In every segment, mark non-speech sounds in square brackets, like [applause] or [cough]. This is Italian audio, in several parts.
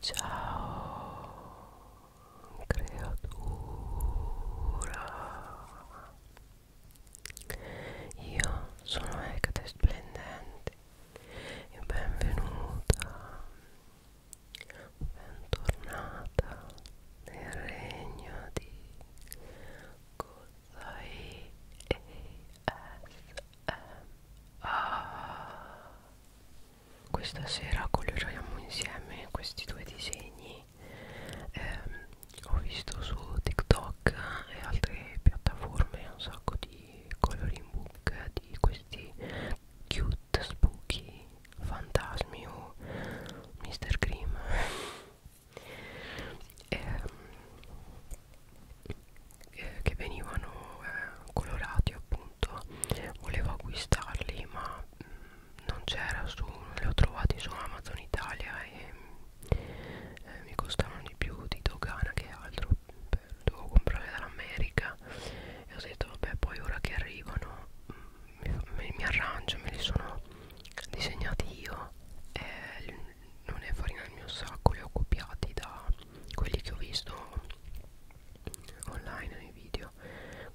Ciao creatura Io sono Ecate Splendente e benvenuta Bentornata nel regno di Kozai ASMR questa sera coloriamo insieme questi due disegni eh, ho visto su TikTok e altre piattaforme un sacco di coloring book di questi cute spooky fantasmi o Mr. Cream eh, eh, che venivano eh, colorati appunto volevo acquistarli ma mh, mm, non c'era su non li ho trovati su Amazon Italia e eh, mi costavano di più di dogana che altro dovevo comprare dall'America e ho detto vabbè poi ora che arrivano mh, mm, mi, mi arrangio me li sono disegnati io eh, non è farina del mio sacco li ho copiati da quelli che ho visto online nei video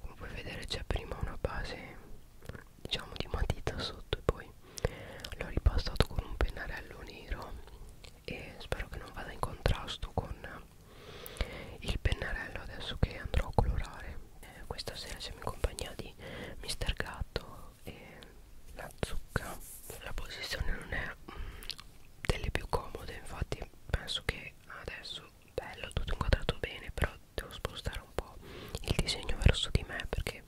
come puoi vedere c'è prima una base diciamo di matita sotto e poi l'ho ripastato con un pennarello nero e spero che non vada in contrasto con il pennarello adesso che andrò a colorare eh, questa sera siamo in compagnia di Mr. Gatto e la zucca la posizione non è mm, delle più comode infatti penso che adesso bello tutto inquadrato bene però devo spostare un po' il disegno verso di me perché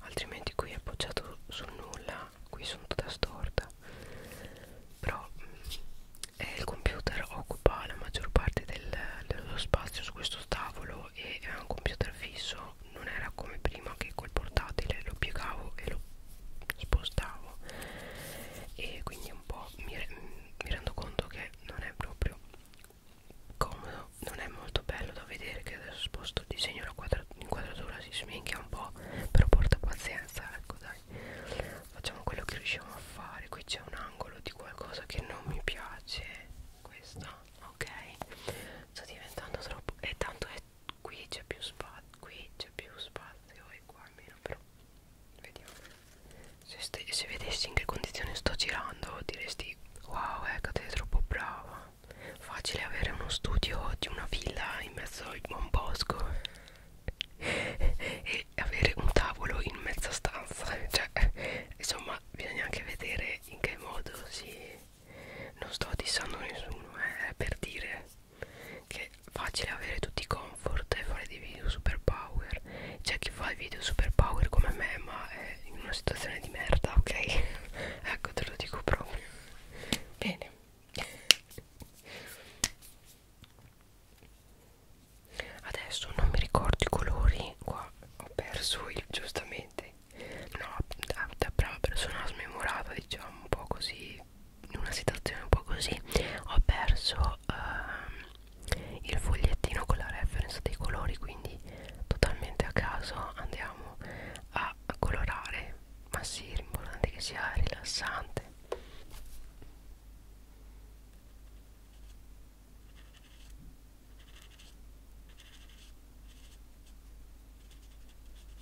altrimenti qui è appoggiato sul nulla qui sono tutta storta però eh, il computer occupa la maggior parte del, dello spazio su questo tavolo e è un computer fisso non era come prima che col portatile lo piegavo e lo spostavo e quindi un po' mi, re mi rendo conto che non è proprio comodo non è molto bello da vedere che adesso sposto il disegno l'inquadratura si sminchia un po' però porta pazienza ecco dai facciamo quello che riusciamo a fare qui c'è un angolo di qualcosa che non mi piace questo ok sto diventando troppo e tanto è eh, qui c'è più spazio qui c'è più spazio e qua meno però vediamo se, se vedessi in che condizioni sto girando diresti wow ecco te sei troppo brava facile avere uno studio di una villa in mezzo al buon bosco [laughs] e avere un tavolo in mezza stanza [laughs] cioè insomma bisogna anche vedere in che modo si non sto dissando nessuno eh, per dire che è facile avere tutti i comfort e fare dei video super power c'è chi fa i video super power come me ma è in una situazione di merda ok [laughs] ecco te lo dico proprio bene adesso non mi ricordo i colori qua ho perso il giustamente no da, da brava persona smemorata diciamo un po' così in una situazione un po' così ho perso ehm, il fogliettino con la reference dei colori quindi totalmente a caso andiamo a colorare ma sì l'importante è che sia rilassante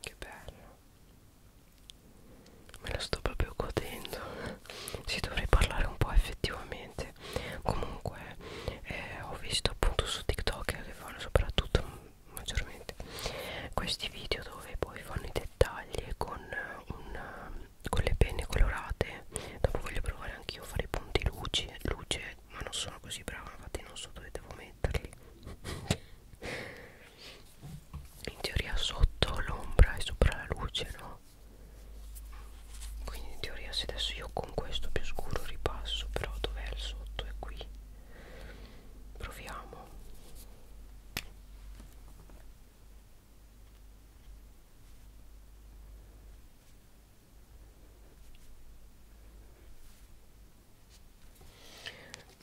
Che bello Me lo sto proprio godendo Ci dovrei parlare un po' effettivamente Comunque eh, ho visto appunto su TikTok Che fanno soprattutto maggiormente Questi video dove poi fanno i dettagli Con un con le penne colorate dopo voglio provare anch'io a fare i punti luce, luce ma non sono così brava infatti non so dove devo metterli in teoria sotto l'ombra e sopra la luce no quindi in teoria se adesso io con questo più scuro ripasso però dov'è il sotto è qui proviamo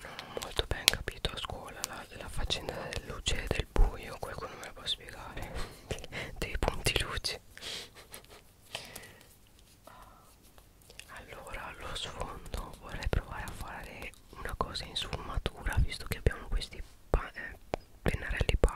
non ho molto ben capito a scuola la, la faccenda delle luci e del buio, qualcuno me la può spiegare? [laughs] Dei punti luci. Allora, allo sfondo vorrei provare a fare una cosa in sfumatura, visto che abbiamo questi eh, pennarelli power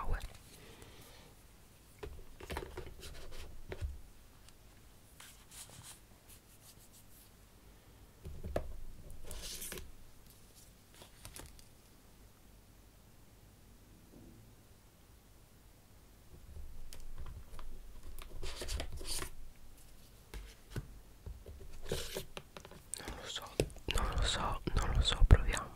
non lo so non lo so non lo so proviamo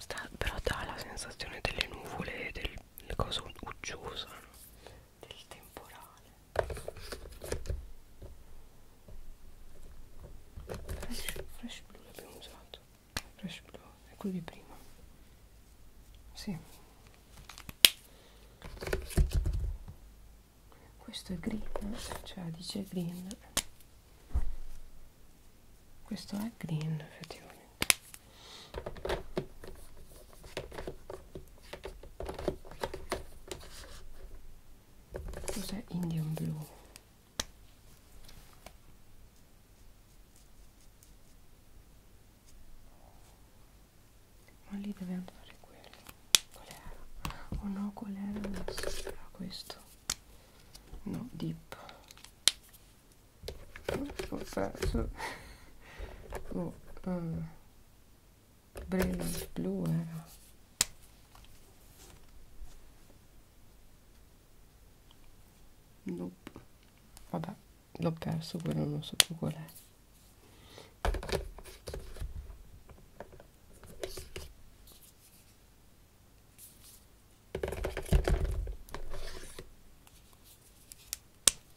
Sta, però dà la sensazione delle nuvole del coso uggioso del temporale fresh, fresh blue l'abbiamo usato fresh blue è quello di prima sì. questo è green cioè dice green questo è green effettivamente cos'è indian blu ma lì deve andare quello qual era? oh no qual era? No, era questo no dip [laughs] oh, oh, oh, oh, oh, oh. Brave blu era. Eh. Nope. Vabbè, l'ho perso, quello non so più qual è.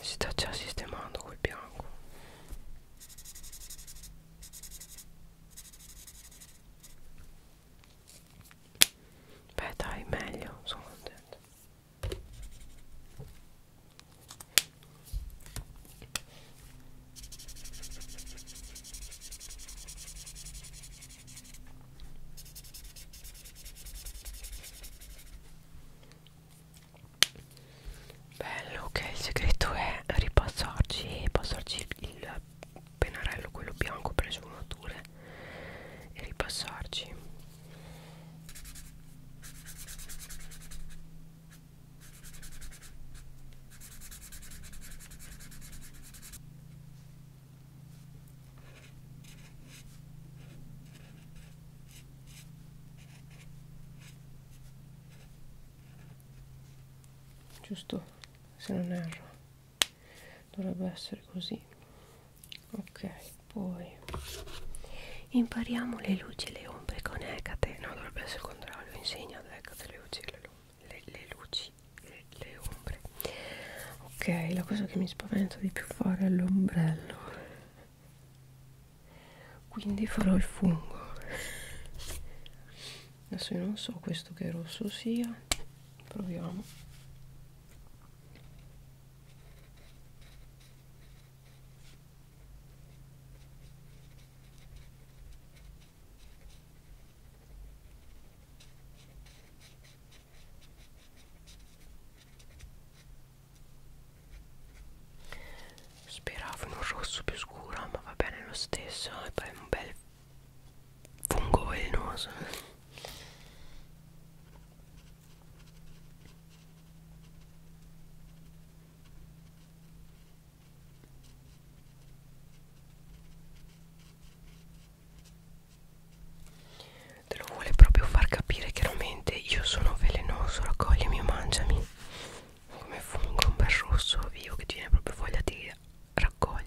si sta già sistemando quel bianco beh dai meglio sono contenta Bello che okay. il segreto è ripassarci e passarci il pennarello quello bianco per le sfumature e ripassarci giusto se non erro dovrebbe essere così ok poi Impariamo le luci e le ombre con Ecate. No, dovrebbe essere il contrario. Insegna ad Ecate le luci e le, le, le luci e le ombre. Ok, la cosa che mi spaventa di più fare è l'ombrello. Quindi farò il fungo. Adesso io non so questo che rosso sia. Proviamo. Speravo in un rosso più scuro, ma va bene lo stesso. E poi un bel fungo velenoso. Te lo vuole proprio far capire chiaramente io sono velenoso, raccoglimi o mangiami. Come fungo un bel rosso vivo che ti viene proprio voglia di raccoglierlo.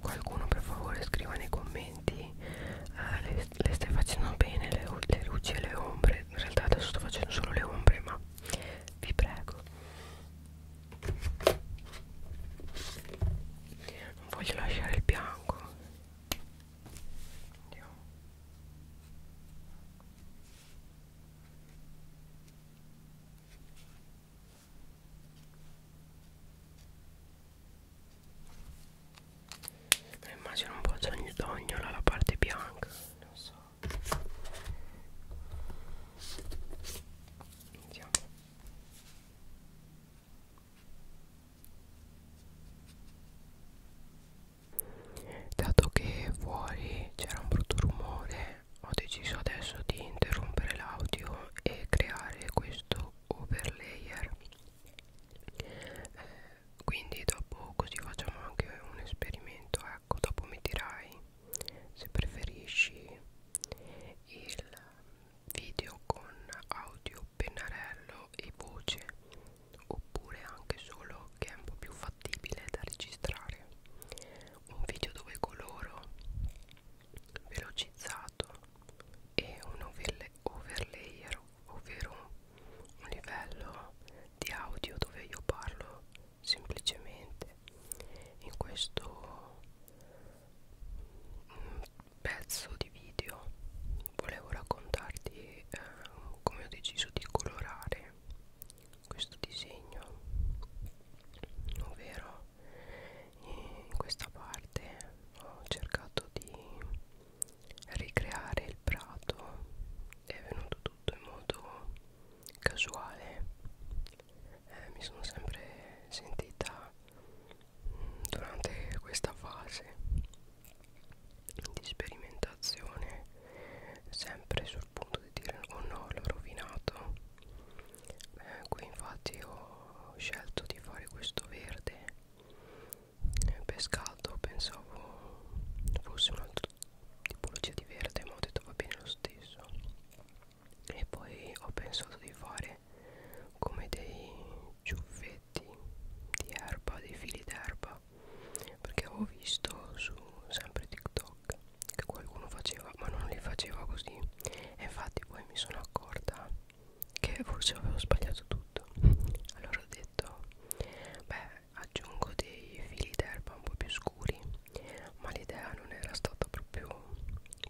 Qualcuno per favore scriva nei commenti eh, le le, le stai facendo bene le, le luci e le ombre in realtà adesso sto facendo solo le ombre ma vi prego non voglio lasciare il bianco andiamo ma immagino un po' d'ognola la parte bianca, non so. Iniziamo. Dato che fuori c'era un brutto rumore, ho deciso adesso di interrompere l'audio e creare questo overlayer. Eh, quindi dopo così facciamo anche un esperimento ecco dopo mi dirai se preferisci il video con audio pennarello e voce oppure anche solo che è un po' più fattibile da registrare un video dove coloro velocizzato e un overlay ovvero un livello di audio dove io parlo semplicemente in questo mm, pezzo di video volevo raccontarti eh, come ho deciso di colorare questo disegno ovvero eh, in questa parte ho cercato di ricreare il prato è venuto tutto in modo casuale eh, mi sono sempre sentita mm, durante questa fase di sperimentazione sempre sul punto di dire oh no l'ho rovinato eh, qui infatti ho scelto di fare questo verde pescato pensavo fosse un'altra tipologia di verde ma ho detto va bene lo stesso e poi ho pensato di fare come dei ciuffetti di erba dei fili d'erba perché avevo visto su sempre TikTok che qualcuno faceva ma non li faceva così e infatti poi mi sono accorta che forse avevo sbagliato tutto allora ho detto detto beh aggiungo dei fili d'erba un po' più scuri ma l'idea non era stata proprio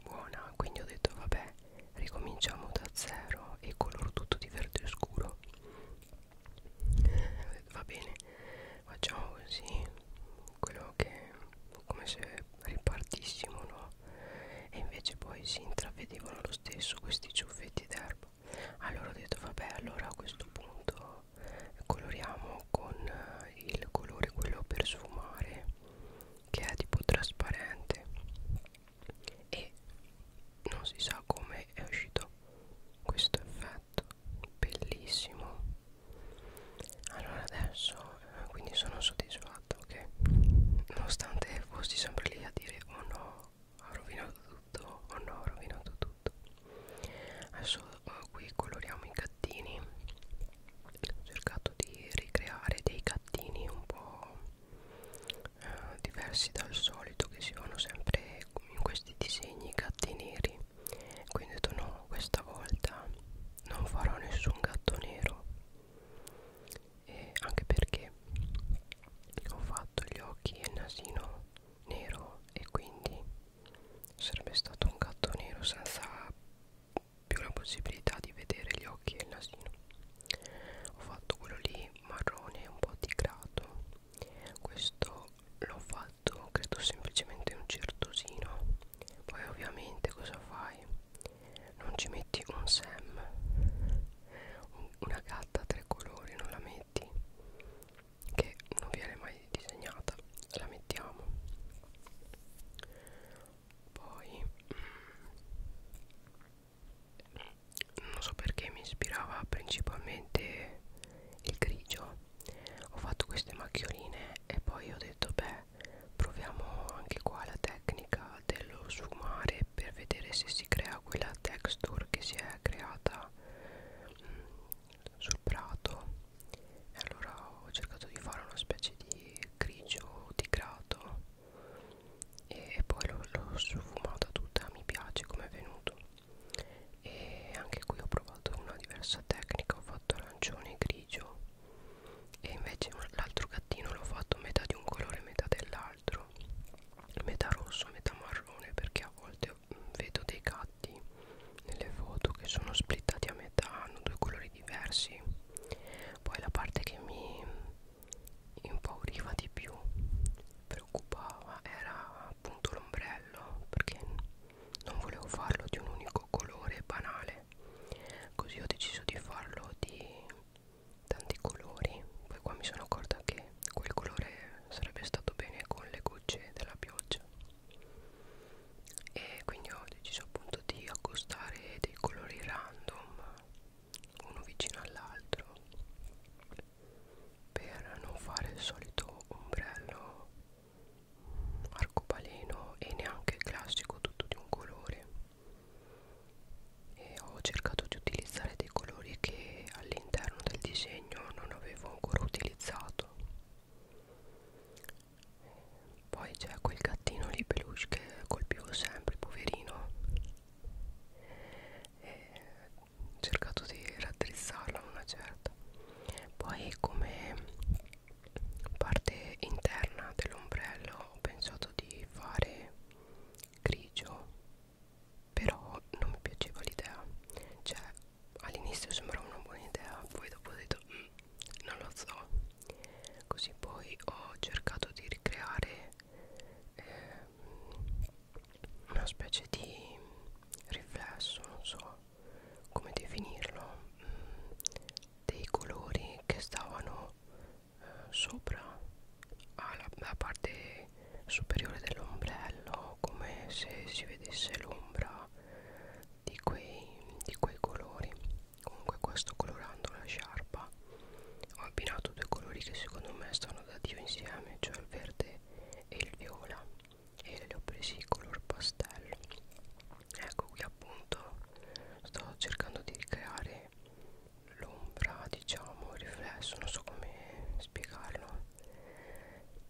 buona quindi ho detto vabbè ricominciamo da zero e coloro tutto di verde scuro eh, va bene facciamo così quello che come se ripartissimo no e invece poi si intravedevano lo stesso questi ciuffetti d'erba roba allora ho detto vabbè allora a questo punto coloriamo con eh, il colore quello per sfumare che è tipo trasparente e non si sa come è uscito questo effetto bellissimo allora adesso eh, quindi sono soddisfatto che nonostante fossi sempre lì a dire oh no ha rovinato tutto o no ha rovinato tutto adesso eh, qui coloriamo i gattini ho cercato di ricreare dei gattini un po' eh, diversi dal solito che si vanno sempre in questi disegni gatti neri quindi ho detto no questa volta non farò nessun gatto nero eh, anche perché ho fatto gli occhi e il nasino nero e quindi sarebbe stato un gatto nero senza più la possibilità di vedere gli occhi e il nasino ho fatto quello lì marrone un po' tigrato questo l'ho fatto credo semplicemente un certosino poi ovviamente cosa fai non ci metti un Sam una gatta a tre colori non la metti che non viene mai disegnata la mettiamo poi mm, non so perché mi ispirava principalmente il grigio ho fatto queste macchioline e poi ho detto beh proviamo anche qua la tecnica dello sfumare per vedere se si crea quella texture che si è creata mh, mm, sul prato e allora ho cercato di fare una specie di grigio tigrato e poi l'ho sfumata tutta mi piace come è venuto e anche qui ho provato una diversa tecnica ho fatto arancione e grigio e invece l'altro gattino l'ho fatto metà di un colore metà dell'altro l'altro metà rosso metà marrone perché a volte mm, vedo dei gatti nelle foto che sono splittati a metà hanno due colori diversi poi la parte che mi impauriva di più preoccupava era appunto l'ombrello perché non volevo farlo di un unico colore banale così ho deciso di farlo di tanti colori poi qua mi sono accorta che quel colore sarebbe stato bene con le gocce della pioggia e quindi ho deciso appunto di accostare dei colori random uno vicino all'altro per non fare il solito ombrello arcobaleno e neanche il classico tutto di un colore e ho cercato di utilizzare dei colori che all'interno del disegno non avevo ancora utilizzato poi c'è quel gattino lì peluche che colpivo sempre poverino e ho cercato di raddrizzarlo una certa poi come parte interna dell'ombrello ho pensato di fare grigio però non mi piaceva l'idea cioè all'inizio sembrava una buona idea poi dopo ho detto mm, non lo so così poi ho cercato di ricreare eh, una specie di riflesso non so come definirlo mm, dei colori che stavano sopra alla, alla parte superiore dell'ombrello come se si vedesse l'ombra di quei, di quei colori comunque questo colorando la sciarpa ho abbinato due colori che secondo me stanno da dio insieme cioè il verde e il viola e li ho presi color pastello ecco qui appunto sto cercando di ricreare l'ombra diciamo il riflesso non so come spiegarlo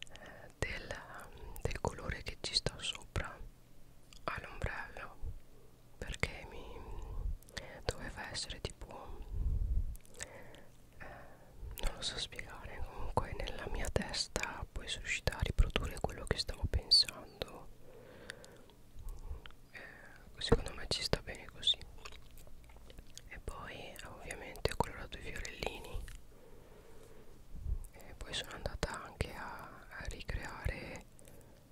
eh, del, del colore che ci sta sopra all'ombrello perché mi doveva essere tipo eh, non lo so spiegare comunque nella mia testa poi sono riuscita a riprodurre quello che stavo pensando eh, secondo me ci sta bene così e poi ovviamente ho colorato i fiorellini e poi sono andata anche a, a ricreare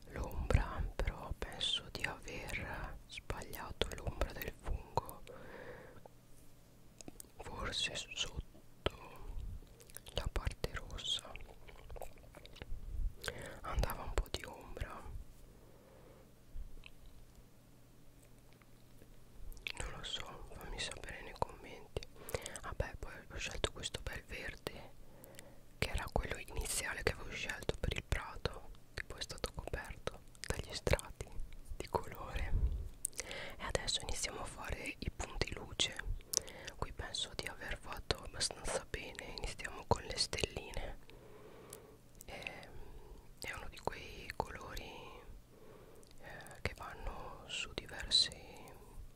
l'ombra però penso di aver sbagliato l'ombra del fungo forse sotto la parte rossa andava un po' di ombra non lo so fammi sapere nei commenti vabbè poi ho scelto questo bel verde che era quello iniziale che avevo scelto per il prato che poi è stato coperto dagli strati di colore e adesso iniziamo a fare i punti luce qui penso di aver aver fatto abbastanza bene iniziamo con le stelline e, ehm, è uno di quei colori eh, che vanno su diversi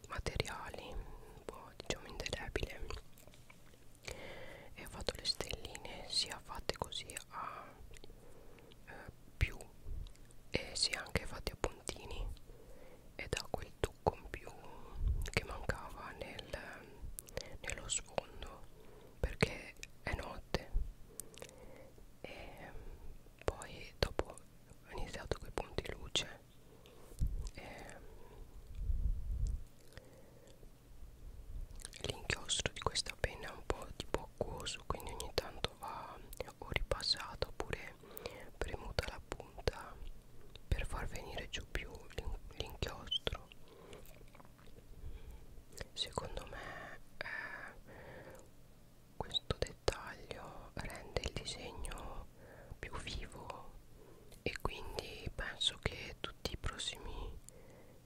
materiali un po' diciamo indelebile e ho fatto le stelline sia fatte così a eh, più e sia anche fatte a puntini e da quel trucco in più che mancava nel, nello sfondo perché è notte e poi dopo ho iniziato con i punti luce e l'inchiostro di questa penna è un po' tipo acquoso quindi ogni tanto va o ripassato oppure premuta la punta punta per far venire giù più l'inchiostro secondo me eh, questo dettaglio rende il disegno più vivo e quindi penso che tutti i prossimi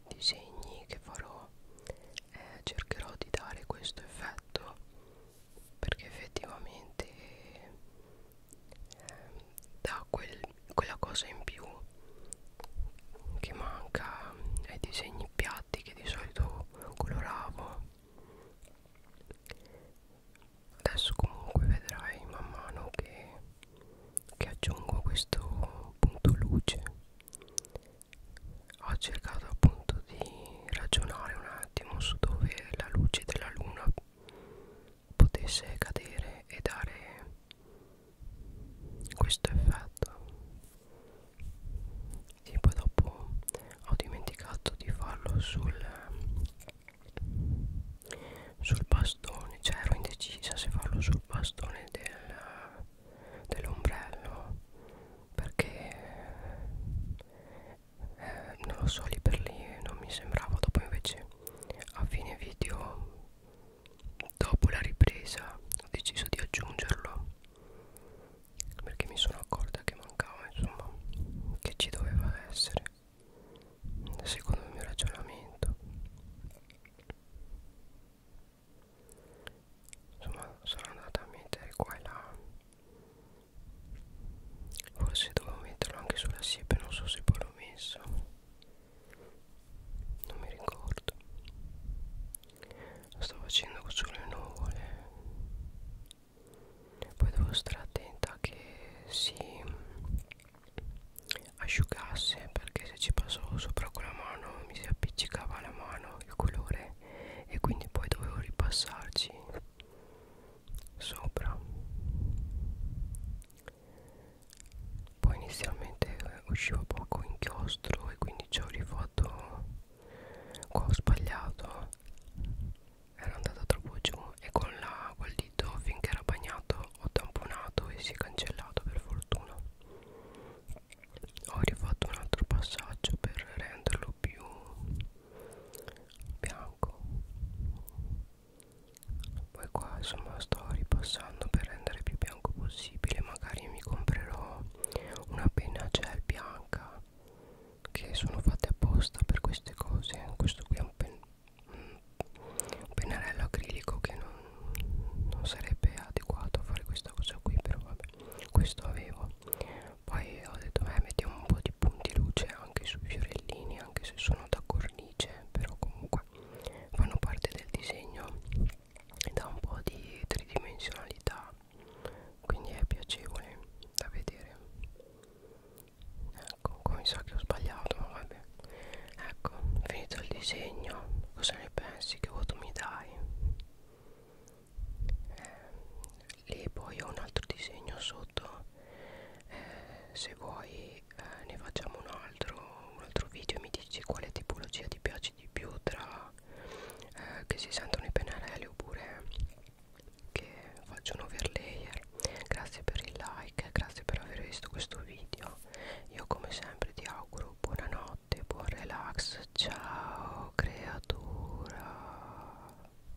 disegni che farò eh, cercherò di dare questo effetto perché effettivamente eh, dà quel, quella cosa in più che manca ai disegni piatti che di solito coloravo adesso comunque vedrai man mano che, che aggiungo questo punto luce ho cercato appunto di ragionare un attimo su dove la luce della luna potesse cadere e dare questo effetto e poi dopo ho dimenticato di farlo sul sul bastone cioè ero indecisa se farlo sul bastone del, dell'ombrello perché eh, non lo so lì per lì non mi sembrava dopo invece a fine video dopo la ripresa ho deciso di aggiungerlo perché mi sono accorta che mancava insomma che ci doveva essere secondo il mio ragionamento insomma sono andata a mettere qua e là Forse dovevo metterlo anche sulla siepe, non so se poi l'ho messo. Non mi ricordo. Lo sto facendo sulle nuvole. Poi devo stare attenta che si asciugasse perché se ci passavo sopra con la mano mi si appiccicava la mano il colore e quindi poi dovevo ripassarci sopra poi inizialmente eh, usciva poco inchiostro e quindi ci ho rifatto qua ho sbagliato era andata troppo giù e con la col dito finché era bagnato ho tamponato e si è cancellato per fortuna ho rifatto un altro passaggio per renderlo più bianco poi qua insomma sto ripassando per rendere più bianco possibile magari mi comprerò una penna gel bianca che sono fatte apposta per queste cose questo qui è un, pen un pennarello acrilico che non, non sarebbe adeguato a fare questa cosa qui però vabbè questo avevo poi ho detto eh mettiamo un po' di dei punti luce anche sui fiorellini anche se sono da cornice però comunque fanno parte del disegno e dà un po' di tridimensionalità quindi è piacevole da vedere ecco qua mi sa che ho sbagliato ma vabbè ecco finito il disegno cosa ne pensi che voto mi dai eh, lì poi ho un altro disegno sotto eh, se vuoi eh, ne facciamo un altro un altro video e mi dici quale tipologia ti piace di più tra eh, che si sentono i pennarelli oppure che faccio un overlayer grazie per il like grazie per aver visto questo video io come sempre ti auguro buonanotte buon relax ciao creatura